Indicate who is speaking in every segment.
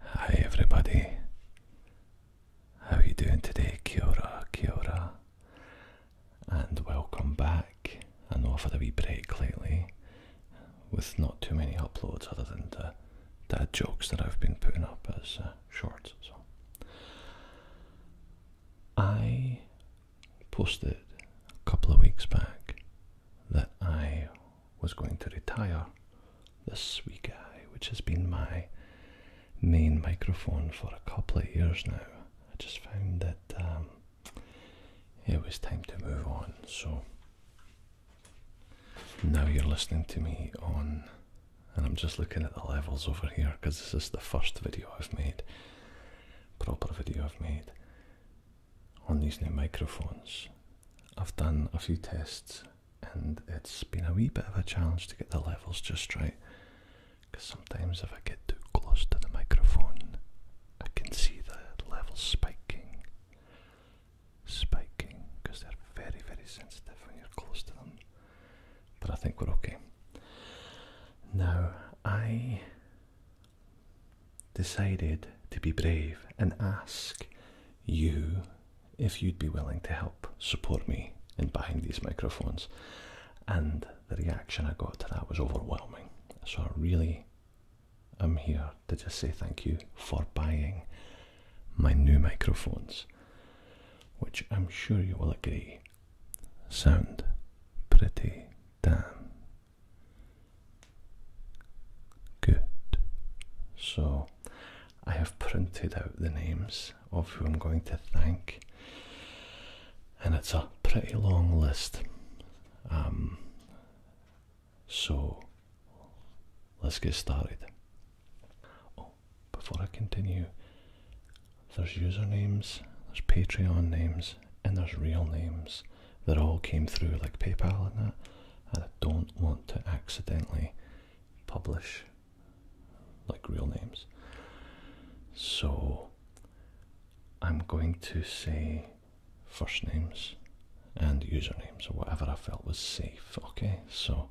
Speaker 1: Hi everybody. How are you doing today? Kia ora, And welcome back. I know I've had a wee break lately with not too many uploads other than the jokes that I've been putting up as uh, shorts. So I posted a couple of weeks back that I was going to retire this wee Guy, which has been my main microphone for a couple of years now. I just found that um, it was time to move on, so now you're listening to me on, and I'm just looking at the levels over here because this is the first video I've made, proper video I've made on these new microphones. I've done a few tests and it's been a wee bit of a challenge to get the levels just right because sometimes if I get too close to the microphone, I can see the levels spiking. Spiking because they're very, very sensitive when you're close to them. But I think we're okay. Now, I decided to be brave and ask you if you'd be willing to help support me in buying these microphones. And the reaction I got to that was overwhelming. So I really am here to just say thank you for buying my new microphones, which I'm sure you will agree sound pretty damn Good. So I have printed out the names of who I'm going to thank, and it's a pretty long list. Um, so let's get started. Oh, before I continue, there's usernames, there's Patreon names, and there's real names that all came through like PayPal and that, and I don't want to accidentally publish like real names. So I'm going to say first names and usernames or whatever I felt was safe, okay? So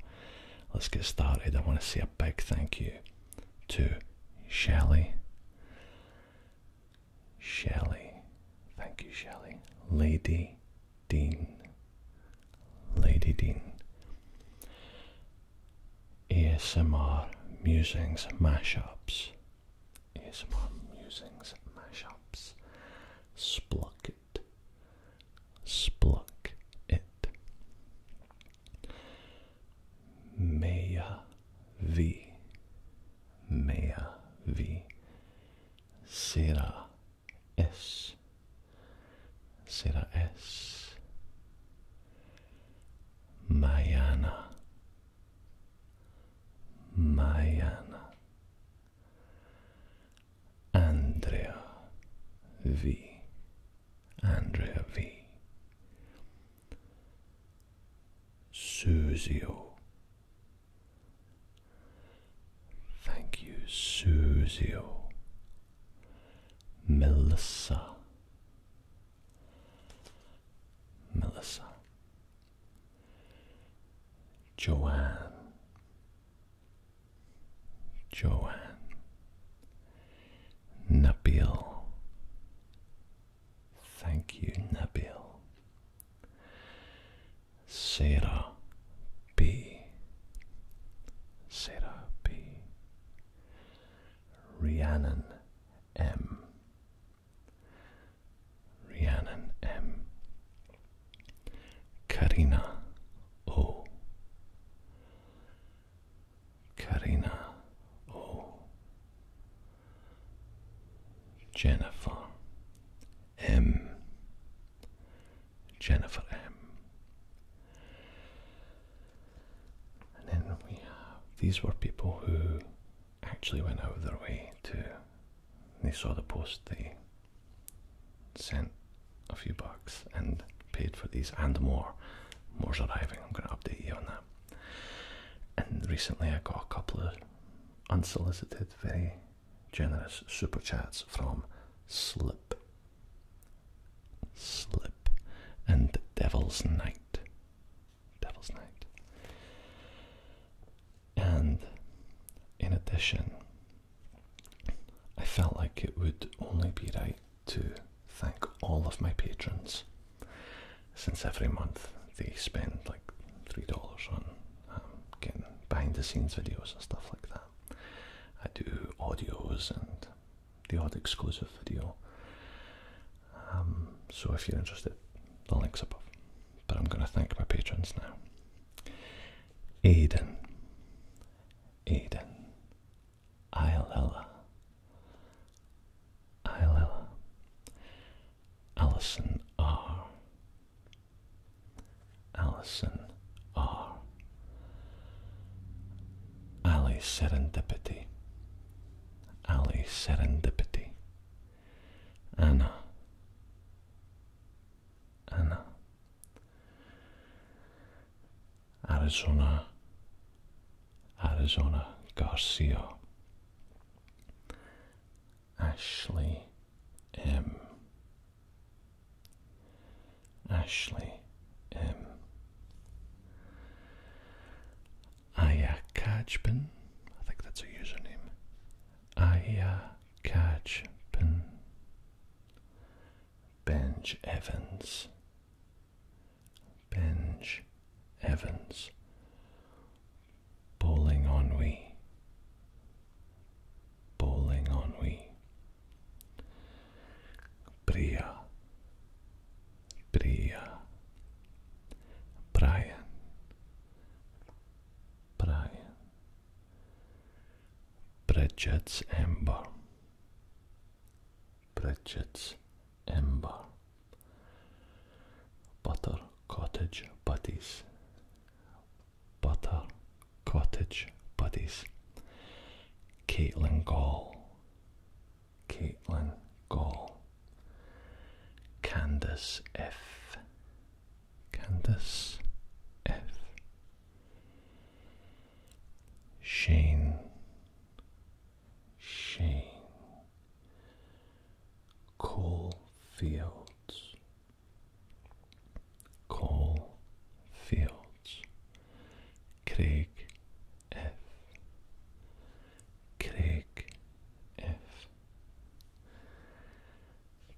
Speaker 1: let's get started. I want to say a big thank you to Shelly. Shelley. Thank you, Shelley. Lady Dean. Lady Dean. ASMR Musings Mashups. ASMR Musings Mashups. Spluck it. Spluck it. Maya V. Maya V. Sera, S. Sera S. Mayana. Mayana. Andrea V. Andrea V. Susio Thank you, Susio. Melissa, Melissa, Joanne, Joanne, Nabil. Thank you, Nabil. Sarah B. Sarah B. Rhiannon M. Rhiannon M. Karina O. Karina O. Jennifer M. Jennifer M. And then we have these were people who actually went out of their way to. They saw the post, they sent a few bucks and paid for these and more. More's arriving, I'm going to update you on that. And recently I got a couple of unsolicited, very generous super chats from Slip. Slip and Devil's Night. Devil's Night. And in addition, I felt like it would only be right to thank all of my patrons since every month they spend like three dollars on um, getting behind the scenes videos and stuff like that. I do audios and the odd exclusive video. Um, so if you're interested, the link's above. But I'm going to thank my patrons now. Aiden, Aiden, Iolella, Iolella, Allison R. Allison R. Ali Serendipity. Ali Serendipity. Anna. Anna. Arizona. Arizona Garcia. Ashley M. Ashley M. Aya Kajpin, I think that's a username. Aya Kajpin. Benj Evans. Benj Evans bowling ennui, bowling ennui, Bria, Bria, Brian, Brian, Bridget's Ember, Bridget's Ember butter cottage buddies butter cottage buddies Caitlin Gall Caitlin Gall Candace F Candace F Shane Shane coal fields, coal fields, Craig F. Craig F.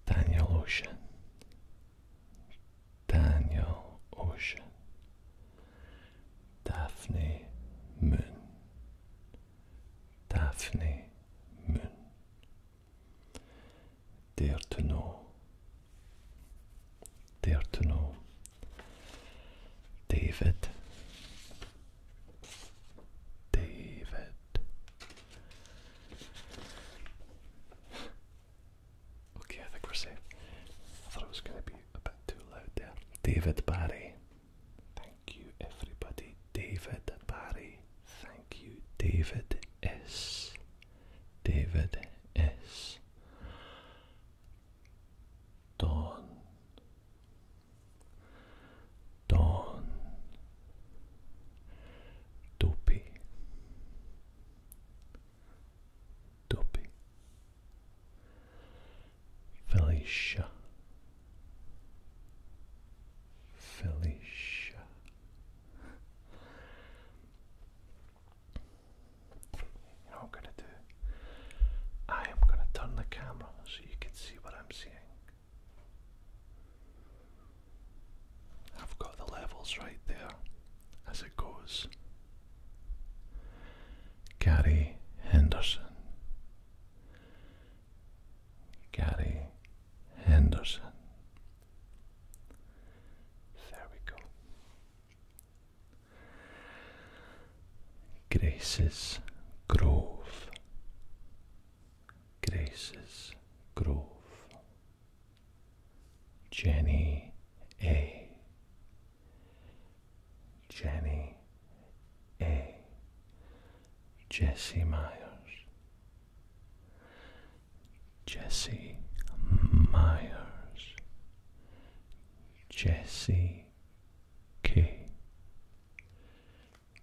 Speaker 1: Daniel Ocean, Daniel Ocean, Daphne Moon, Daphne Moon. Dare to know. Dare to know. David. David. Okay, I think we're safe. I thought it was going to be a bit too loud there. David Barry. Thank you, everybody. David Barry. Thank you, David S. David S. Dawn. Dawn. Dopey. Dopey. Felicia, Felicia. what I'm gonna do? I am gonna turn the camera so you can see what I'm seeing. I've got the levels right there as it goes. Gary Henderson, Gary Henderson. There we go. Grace's Grove. Grace's Grove. Jenny A. Jenny A. Jesse Myers, Jesse Myers, Jesse K.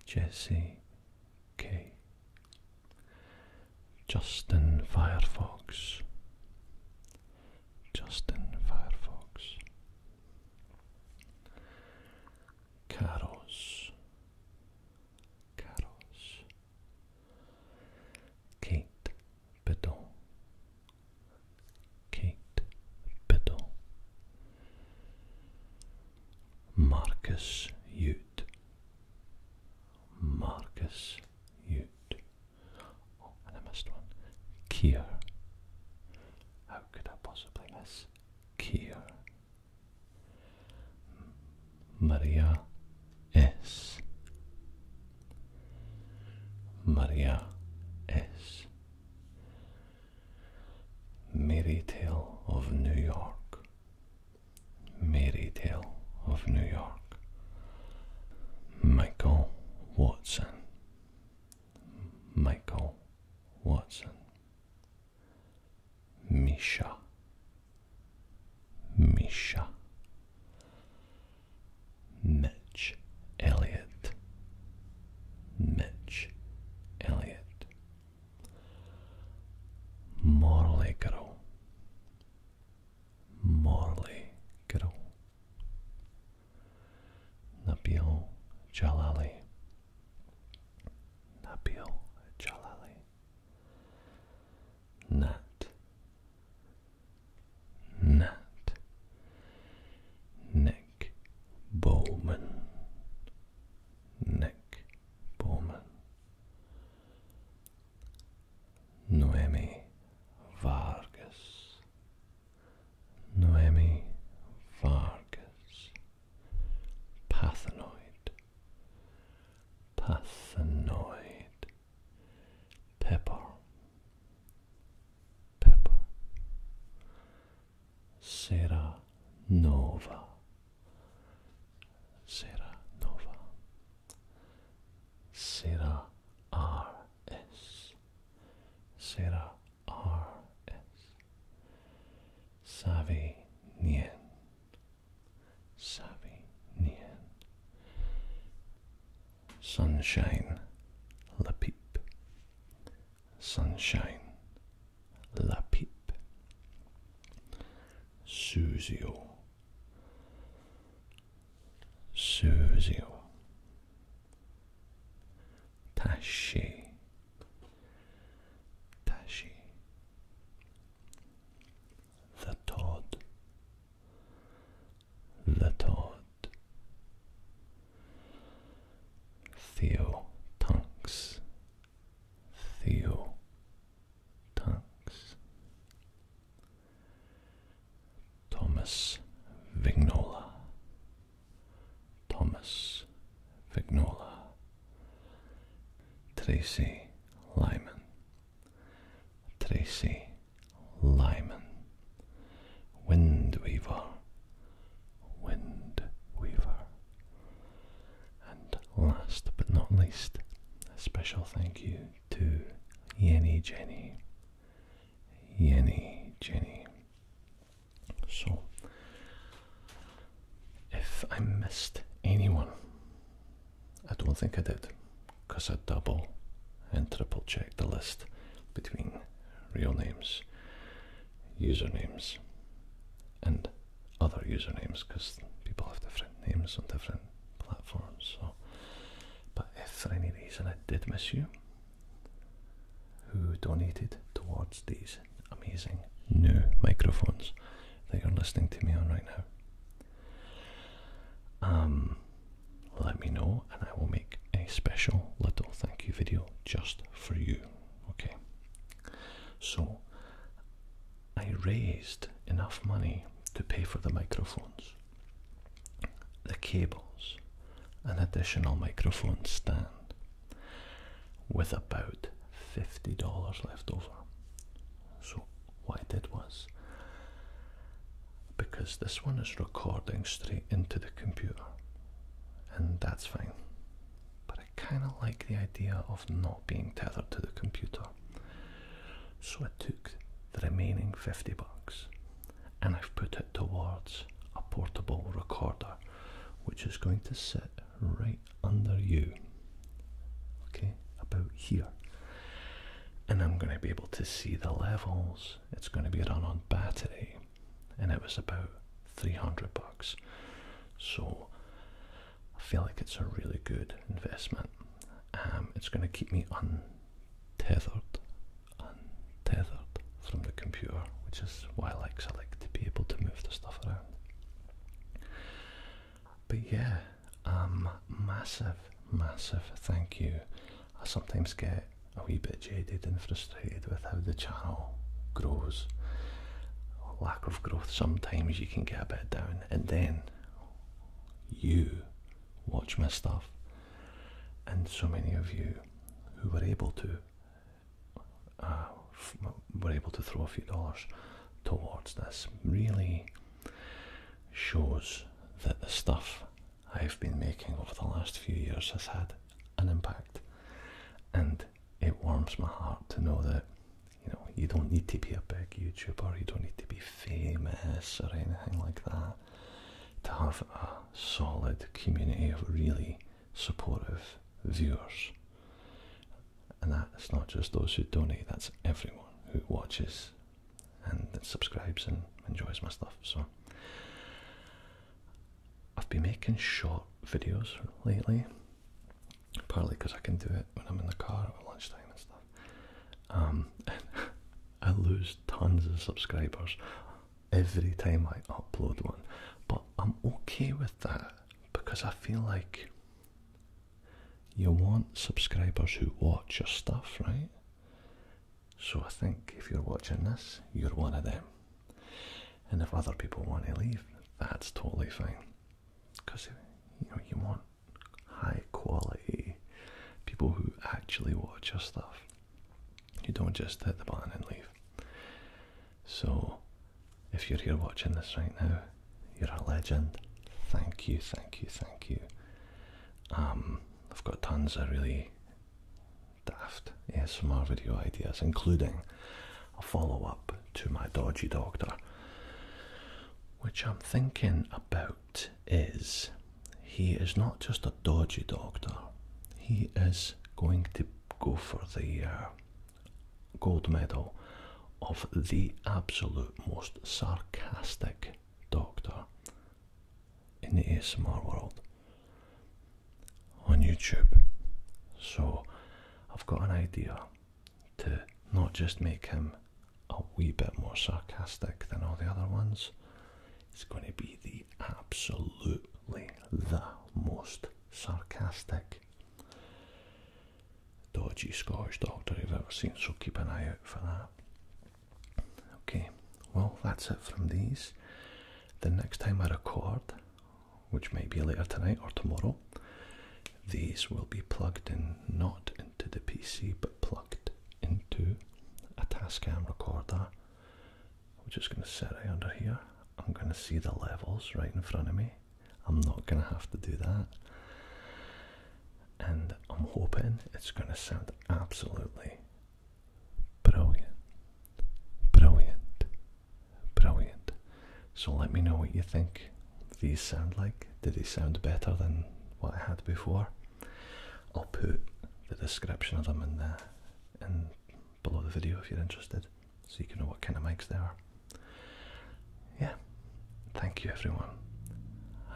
Speaker 1: Jesse K. Justin Firefox, Justin Firefox, Caros, Caros, Kate Bedon, Kate Bedon, Marcus Ute, Marcus Ute, oh, and I missed one, Kier, how could I possibly miss Kier? Maria S. Maria S. Merry Tale of New York. Merry Tale of New York. Michael Watson. Michael Watson, Misha, Misha, Mitch Elliot. Mitch Elliot. Morley Girl, Morley Girl. Nabil Jalali. Nabil Jalali. Nat. Nat. Nick Bowman. Nick Bowman. Noemi Vargas. Noemi Vargas, Pathanoid, Pathanoid, Pepper, Pepper, Sarah Nova, Sarah Nova, Sarah R. S. Sarah R.S. Savi Nien. Savi Nien. Sunshine La Pip. Sunshine La Pip. Susio. Susio. Tashi. Tashi. The Todd. The Todd. Theo Tunks. Theo Tunks. Thomas Vignola, Thomas Vignola, Tracy Lyman, Tracy Lyman, Windweaver, Windweaver. And last but not least, a special thank you to Yenny Jenny. Yenny Jenny so, if I missed anyone, I don't think I did because I double and triple checked the list between real names, usernames, and other usernames because people have different names on different platforms. So, but if for any reason I did miss you, who donated towards these amazing new microphones that you're listening to me on right now. Um, let me know and I will make a special little thank you video just for you. Okay. So I raised enough money to pay for the microphones the cables, an additional microphone stand with about $50 left over. So, what I did was because this one is recording straight into the computer, and that's fine, but I kind of like the idea of not being tethered to the computer. So, I took the remaining 50 bucks and I've put it towards a portable recorder which is going to sit right under you, okay, about here. And I'm going to be able to see the levels. It's going to be run on battery, and it was about 300 bucks. So I feel like it's a really good investment. Um, it's going to keep me on tethered, untethered from the computer, which is why I like. I like to be able to move the stuff around. But yeah, um, massive, massive thank you. I sometimes get a wee bit jaded and frustrated with how the channel grows. Lack of growth, sometimes you can get a bit down, and then you watch my stuff and so many of you who were able to uh, were able to throw a few dollars towards this really shows that the stuff I've been making over the last few years has had an impact, and it warms my heart to know that you know you don't need to be a big YouTuber, you don't need to be famous or anything like that to have a solid community of really supportive viewers. And that's not just those who donate, that's everyone who watches and subscribes and enjoys my stuff. So I've been making short videos lately, partly because I can do it when I'm in the car at lunchtime and stuff. Um, I lose tons of subscribers every time I upload one, but I'm okay with that because I feel like you want subscribers who watch your stuff, right? So I think if you're watching this, you're one of them. And if other people want to leave, that's totally fine. Because you know you want high quality people who actually watch your stuff. You don't just hit the button and leave. So, if you're here watching this right now, you're a legend. Thank you, thank you, thank you. Um, I've got tons of really daft ASMR video ideas, including a follow up to my dodgy doctor, which I'm thinking about is, he is not just a dodgy doctor. He is going to go for the uh, gold medal of the absolute most sarcastic doctor in the small world on YouTube. So I've got an idea to not just make him a wee bit more sarcastic than all the other ones, it's going to be the absolutely the most sarcastic dodgy Scottish doctor you've ever seen, so keep an eye out for that. Okay, well, that's it from these. The next time I record, which may be later tonight or tomorrow, these will be plugged in not into the PC but plugged into a Tascam recorder. I'm just going to set it under here. I'm going to see the levels right in front of me. I'm not going to have to do that. And I'm hoping it's going to sound absolutely brilliant. Brilliant. Brilliant. So let me know what you think these sound like. Do they sound better than what I had before? I'll put the description of them in there and below the video if you're interested, so you can know what kind of mics they are. Yeah, thank you everyone.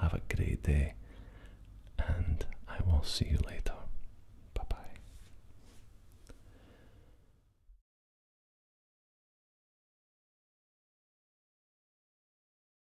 Speaker 1: Have a great day, and I will see you later. Bye bye.